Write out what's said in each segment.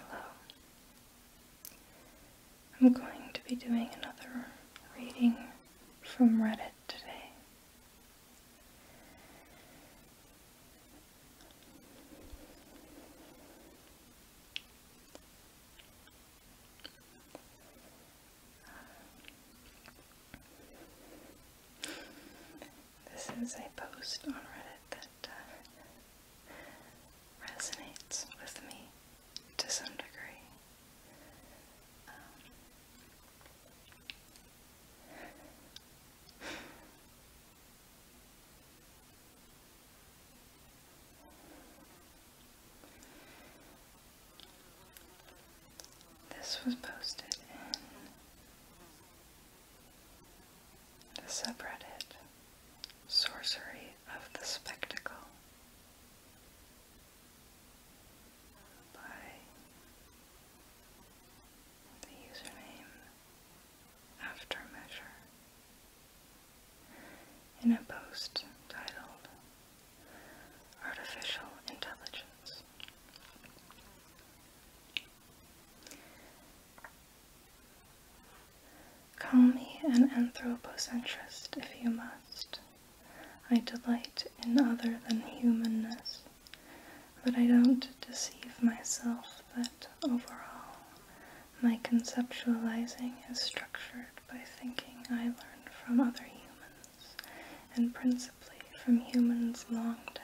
Hello. I'm going to be doing another reading from Reddit today. This is a post on Reddit that uh, resonates with me to some degree. Um, this was posted in the subreddit Sorcery of the Spectacle by the username Aftermeasure. In a post titled Artificial Intelligence, Call me an anthropocentrist if you must. I delight in other than humanness, but I don't deceive myself that overall my conceptualizing is structured by thinking I learned from other humans, and principally from humans long dead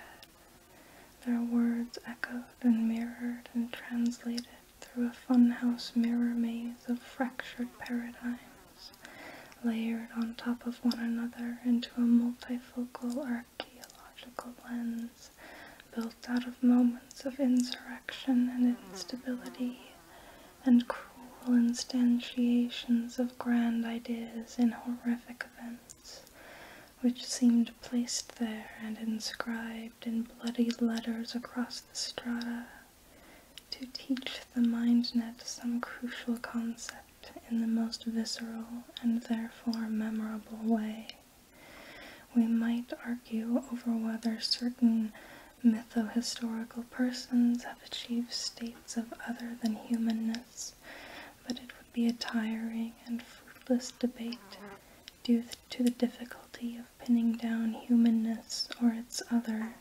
their words echoed and mirrored and translated through a funhouse mirror maze of fractured paradigms, layered on top of one another into a multifocal archaeological lens built out of moments of insurrection and instability and cruel instantiations of grand ideas in horrific events which seemed placed there and inscribed in bloody letters across the strata to teach the mind-net some crucial concept in the most visceral and therefore memorable way. We might argue over whether certain mytho-historical persons have achieved states of other than humanness but it would be a tiring and fruitless debate due to the difficulty of pinning down humanness or its other,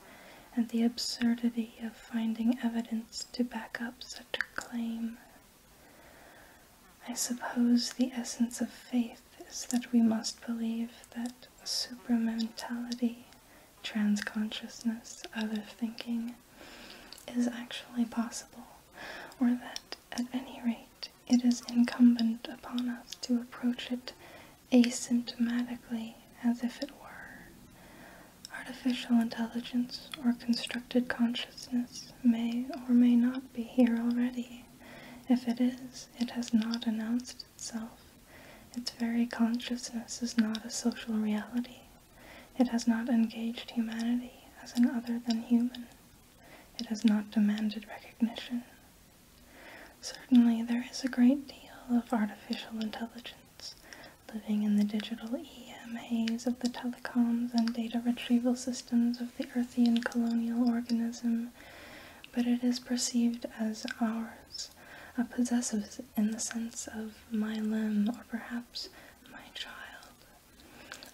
and the absurdity of finding evidence to back up such a claim. I suppose the essence of faith is that we must believe that super supramentality, transconsciousness, other thinking, is actually possible, or that, at any rate, it is incumbent upon us to approach it asymptotically, as if it were. Artificial intelligence or constructed consciousness may or may not be here already. If it is, it has not announced itself. Its very consciousness is not a social reality. It has not engaged humanity as an other than human. It has not demanded recognition. Certainly, there is a great deal of artificial intelligence living in the digital EM haze of the telecoms and data retrieval systems of the Earthian colonial organism, but it is perceived as ours, a possessive in the sense of my limb or perhaps my child,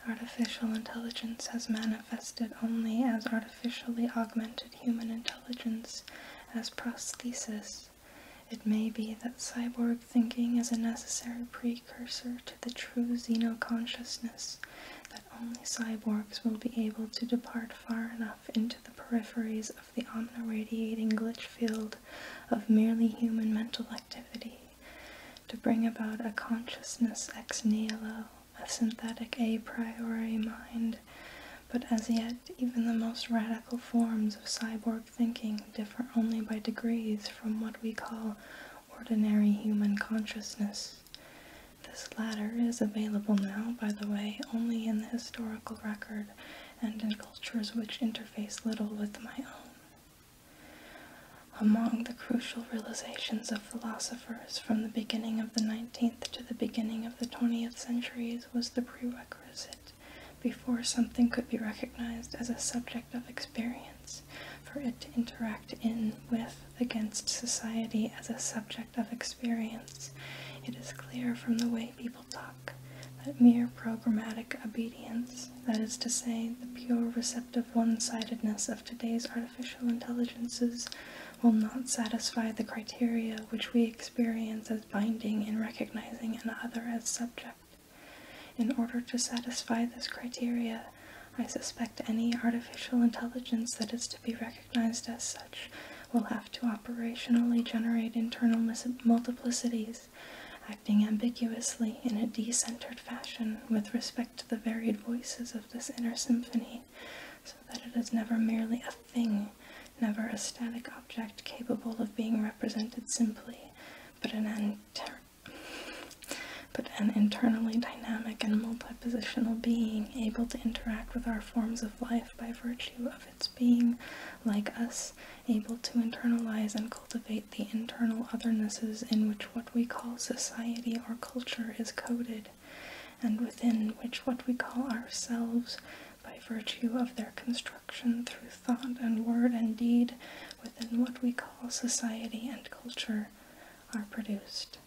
Artificial intelligence has manifested only as artificially augmented human intelligence, as prostheses. It may be that cyborg thinking is a necessary precursor to the true Zeno consciousness. that only cyborgs will be able to depart far enough into the peripheries of the omniradiating glitch field of merely human mental activity to bring about a consciousness ex nihilo, a synthetic a priori mind, but as yet even the most radical forms of cyborg thinking differ only by degrees from what we call ordinary human consciousness. This latter is available now, by the way, only in the historical record and in cultures which interface little with my own. Among the crucial realizations of philosophers from the beginning of the 19th to the beginning of the 20th centuries was the prerequisite before something could be recognized as a subject of experience for it to interact in with against society as a subject of experience. It is clear from the way people talk that mere programmatic obedience that is to say, the pure receptive one sidedness of today's artificial intelligences, will not satisfy the criteria which we experience as binding in recognizing another as subject. In order to satisfy this criteria, I suspect any artificial intelligence that is to be recognized as such will have to operationally generate internal multiplicities acting ambiguously in a decentered fashion with respect to the varied voices of this inner symphony, so that it is never merely a thing, never a static object capable of being represented simply, but an anterior but an internally dynamic and multi-positional being able to interact with our forms of life by virtue of its being, like us, able to internalize and cultivate the internal othernesses in which what we call society or culture is coded, and within which what we call ourselves, by virtue of their construction through thought and word and deed, within what we call society and culture, are produced.